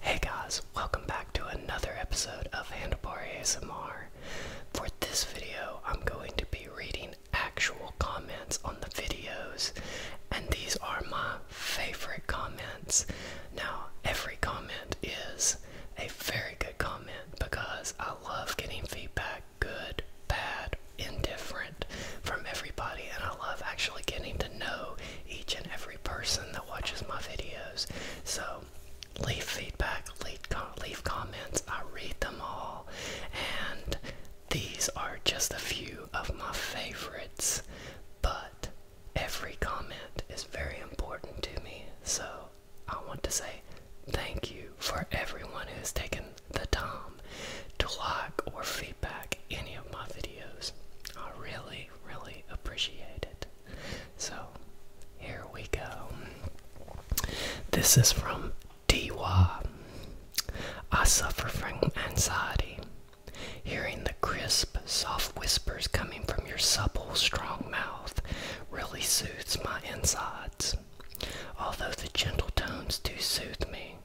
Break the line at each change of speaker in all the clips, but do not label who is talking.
Hey guys, welcome back to another episode of Handlebar ASMR. For this video, I'm going to be reading actual comments on the videos, and these are my favorite comments. Now, every comment is a very good comment because I love getting feedback good, bad, indifferent from everybody, and I love actually getting to know each and every person that watches my videos. So, leave feedback, leave, leave comments, I read them all, and these are just a few of my favorites, but every comment is very important to me, so I want to say thank you for everyone who has taken the time to like or feedback any of my videos. I really, really appreciate it. So, here we go. This is from DY. I suffer from anxiety. Hearing the crisp, soft whispers coming from your supple, strong mouth really soothes my insides. Although the gentle tones do soothe me,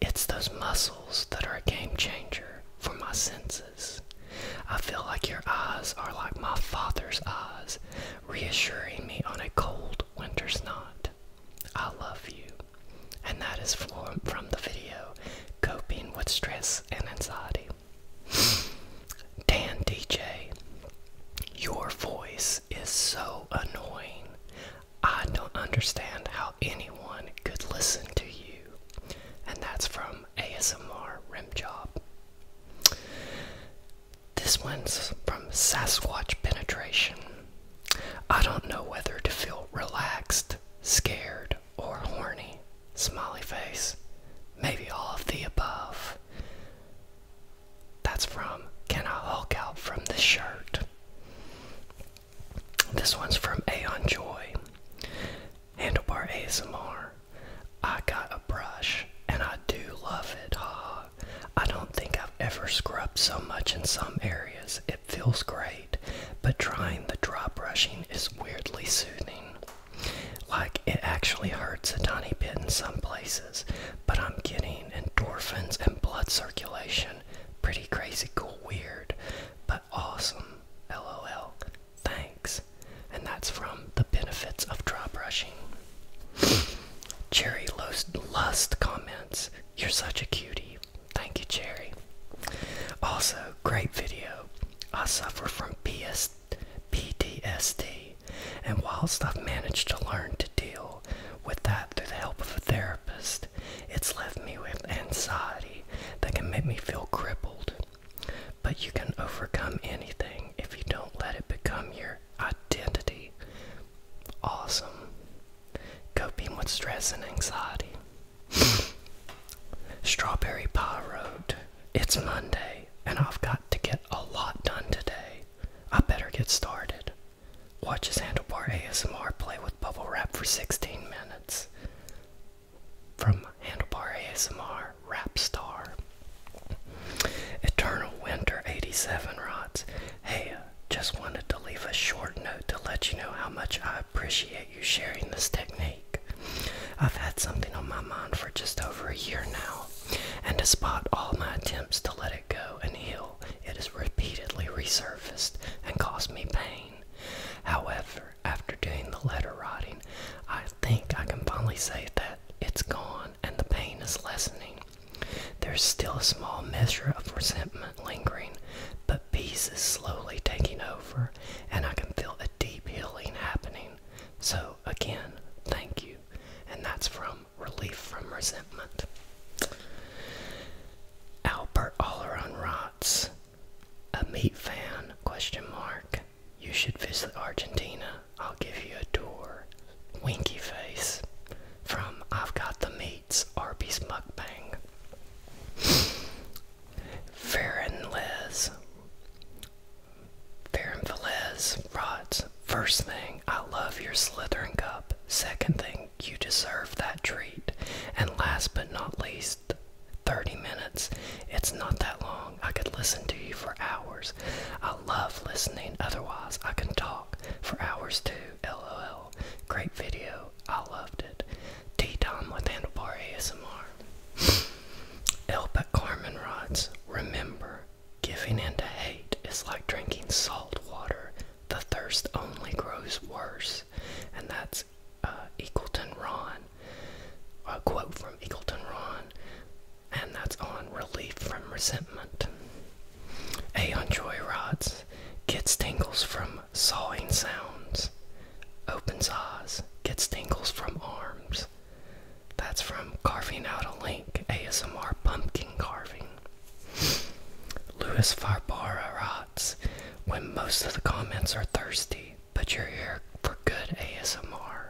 it's those muscles that are a game changer for my senses. I feel like your eyes are like my father's eyes, reassuring me on a cold winter's night. I love you. And that is from, the video Coping with Stress and Anxiety. Dan DJ, your voice is so annoying. I don't understand how anyone could listen to you. And that's from ASMR Rim Job. This one's from Sasquatch Penetration. I don't know whether to feel relaxed, scared, or horny. Smiley face. Maybe all of the above. That's from Can I Hulk Out from the Shirt? This one's from Aeon Joy. Handlebar ASMR. I got a brush and I do love it. Ha! I don't think I've ever scrubbed so much in some areas. It feels great, but trying the dry brushing is weirdly soothing. Like it actually hurts a tiny bit in some places, but I'm getting endorphins and blood circulation Pretty crazy, cool, weird, but awesome. LOL. Thanks. And that's from The Benefits of Dry Brushing. Cherry Lust, Lust comments, You're such a cutie. Thank you, Cherry. Also, great video. I suffer from PS, PTSD, and whilst I've managed to learn to deal with that through the help of a therapist. It's left me with anxiety that can make me feel crippled. But you can overcome anything if you don't let it become your identity. Awesome. Coping with stress and anxiety. Strawberry Pie wrote, It's Monday and I've got to get a lot done today. I better get started. Watch his handlebar ASMR play with bubble wrap for 16 minutes. From handlebar ASMR, rap star. Eternal Winter 87 rods. Hey, uh, just wanted to leave a short note to let you know how much I appreciate you sharing this technique. I've had something on my mind for just over a year now, and despite all my attempts to let it go and heal, it has repeatedly resurfaced and caused me pain. However, after doing the letter writing, I think I can finally say that it's gone and the pain is lessening. There's still a small measure of resentment lingering, but peace is slowly taking over, and I can feel a deep healing happening. So, again, thank you. And that's from relief from resentment. Albert Oleron rots. A meat fan? Question mark. You should visit Argentina. I'll give you a tour. Winky face. From I've Got the Meats, Arby's Mukbang. Farron Les. Farron Velez rots. First thing, I love your Slytherin cup. Second thing, you deserve that treat. And last but not least, 30 minutes. It's not that long. I could listen to you for hours. I love listening, otherwise, I can talk for hours too. LOL. Great video. I loved it. Tea time with Handlebar ASMR. Elba Carmen rods. Remember, giving in to hate is like drinking salt water the thirst only grows worse. And that's uh, Eagleton Ron, a quote from Eagleton Ron, and that's on Relief from Resentment. A on joy rods, gets tingles from sawing sounds, opens eyes, gets tingles from arms. That's from Carving Out a Link, ASMR Pumpkin Carving. Louis Farbara rots when most of the comments are thirsty, but you're here for good ASMR.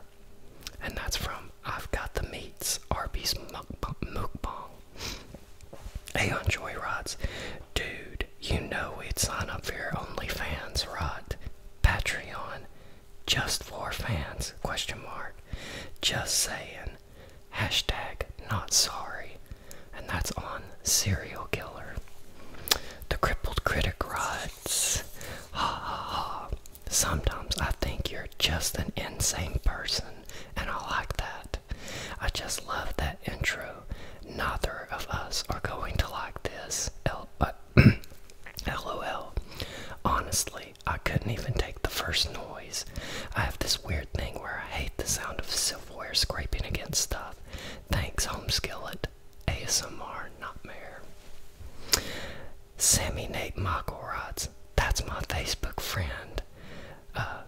And that's from I've Got the Meats, Arby's Mukbang. Aeon Joy rods, dude, you know we'd sign up for your OnlyFans rot. Patreon, just for fans, question mark. Just saying hashtag not sorry, and that's on Serial Killer. The crippled critic writes, ha ha ha. Sometimes I think you're just an insane person, and I like that. I just love that intro. Neither of us are going to like this. L uh, LOL. Honestly, I couldn't even take the first noise. I have this weird thing where I hate the sound of silverware scraping against stuff. Thanks, Home Skillet. ASMR Nightmare. Sammy Nate Michaelrods. That's my Facebook friend. Uh,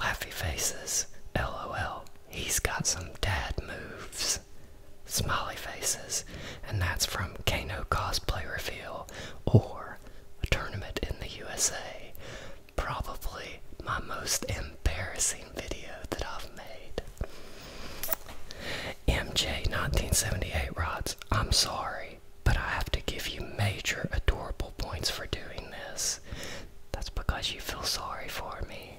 Laffy Faces. LOL. He's got some dad moves. Smiley Faces. And that's from Kano Cosplay Reveal or A Tournament in the USA probably my most embarrassing video that I've made. MJ1978 writes, I'm sorry, but I have to give you major adorable points for doing this. That's because you feel sorry for me.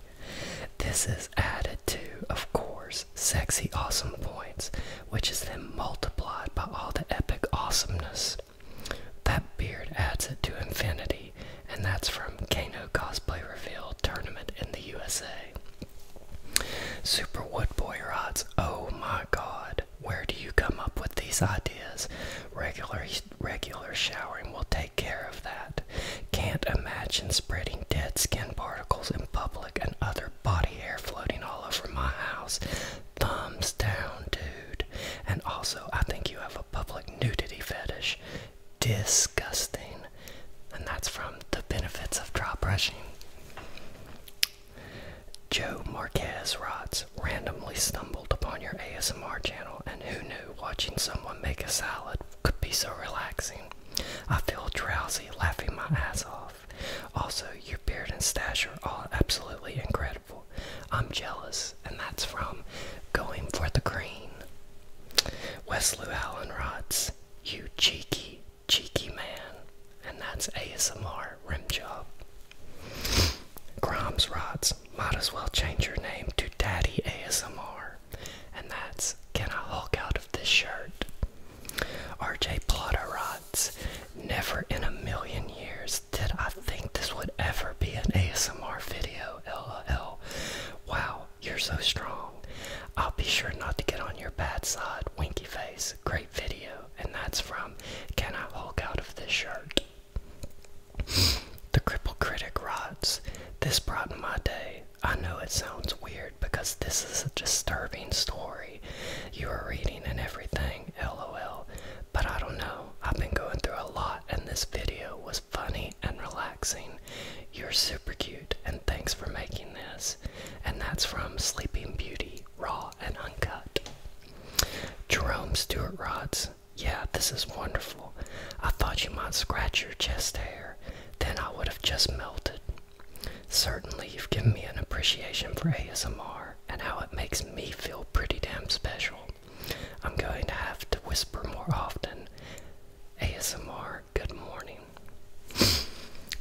This is added to, of course, sexy awesome points, which is then multiplied by all the epic awesomeness that beard adds it to infinity, and that's from Kano Cosplay Reveal Tournament in the USA. Super Wood Boy Rods, oh my god, where do you come up with these ideas? Regular, regular showering will take care of that. Can't imagine spreading dead skin particles in public and other body hair floating all over my house. Thumbs down, dude. And also, I think you have a public nudity fetish. Disgusting. And that's from The Benefits of Dry Brushing. Joe Marquez writes, randomly stumbled upon your ASMR channel, and who knew watching someone make a salad could be so relaxing. I feel drowsy laughing my ass off. Also, your beard and stash are all absolutely incredible. I'm jealous, and that's from Going for the Green. Wesley Allen rods, You cheeky, cheeky man. And that's ASMR Rim Job. Grimes rods, Might as well change your name to Daddy ASMR. And that's Can I Hulk Out of This Shirt? RJ Plotter rods, Never in a million years did I think this would ever be an ASMR video. LOL. Wow, you're so strong. I'll be sure not to get on your bad side. Winky face. Great video. And that's from Can I Hulk Out of This Shirt? the Cripple Critic writes This brightened my day. I know it sounds weird because this is a disturbing story. You are reading and everything lol. But I don't know, I've been going through a lot, and this video was funny and relaxing. You're super cute, and thanks for making this. And that's from Sleeping Beauty, Raw and Uncut. Jerome Stewart Rods, yeah, this is wonderful. I thought you might scratch your chest hair, then I would have just melted. Certainly, you've given me an appreciation for ASMR and how it makes me feel pretty damn special. I'm going to have to whisper more often. ASMR, good morning.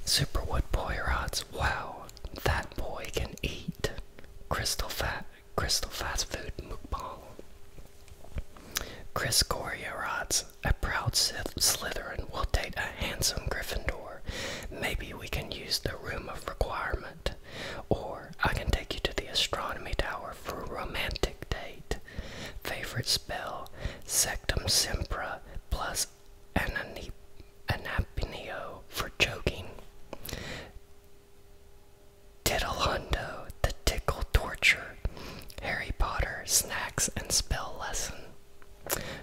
Superwood Poirot's, wow, that boy can eat. Crystal Fat Crystal Fast Food Mukbang. Chris rods. a proud Slytherin will date a handsome Gryffindor. Maybe we can use the Room of Requirement or I can take you to the astronomy tower for a romantic date. Favorite spell Sectum Sempra plus Anani Anapinio for joking. Diddlehundo, the tickle torture. Harry Potter, snacks and spell lesson.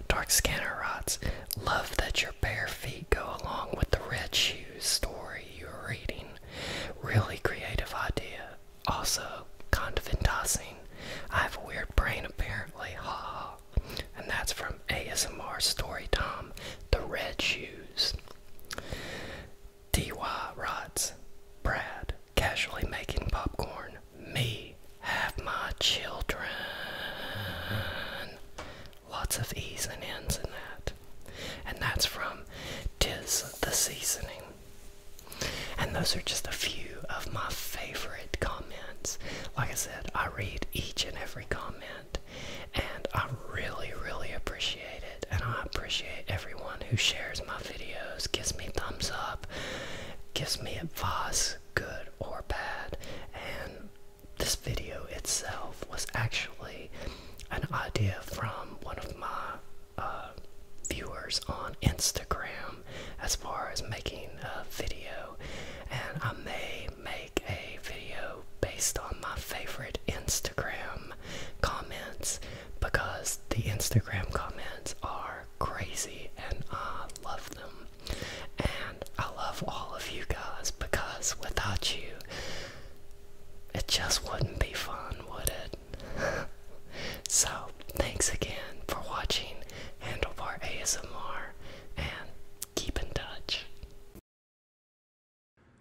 Dark Scanner Rots, love that you're bare feet go along with the red shoes story you're reading. Really creative idea. Also, kind of enticing. I have a weird brain apparently, haha. And that's from ASMR Story Tom, The Red Shoes. DY writes, Brad, casually making popcorn. Me, have my children lots of E's and N's in that. And that's from the Seasoning. And those are just a few of my favorite comments. Like I said, I read each and every comment, and I really, really appreciate it. And I appreciate everyone who shares my videos, gives me thumbs up, gives me advice, good or bad, and this video itself was actually an idea from one of my uh, viewers on Instagram as far as making a video, and I may make a video based on my favorite Instagram comments because the Instagram comments are crazy and I love them. And I love all of you guys because without you, it just wouldn't be fun, would it? so, thanks again for watching Handlebar ASMR and keep in touch.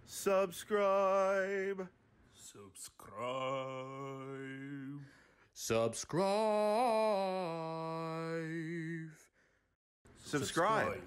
Subscribe. Subscribe. Subscribe. Subscribe.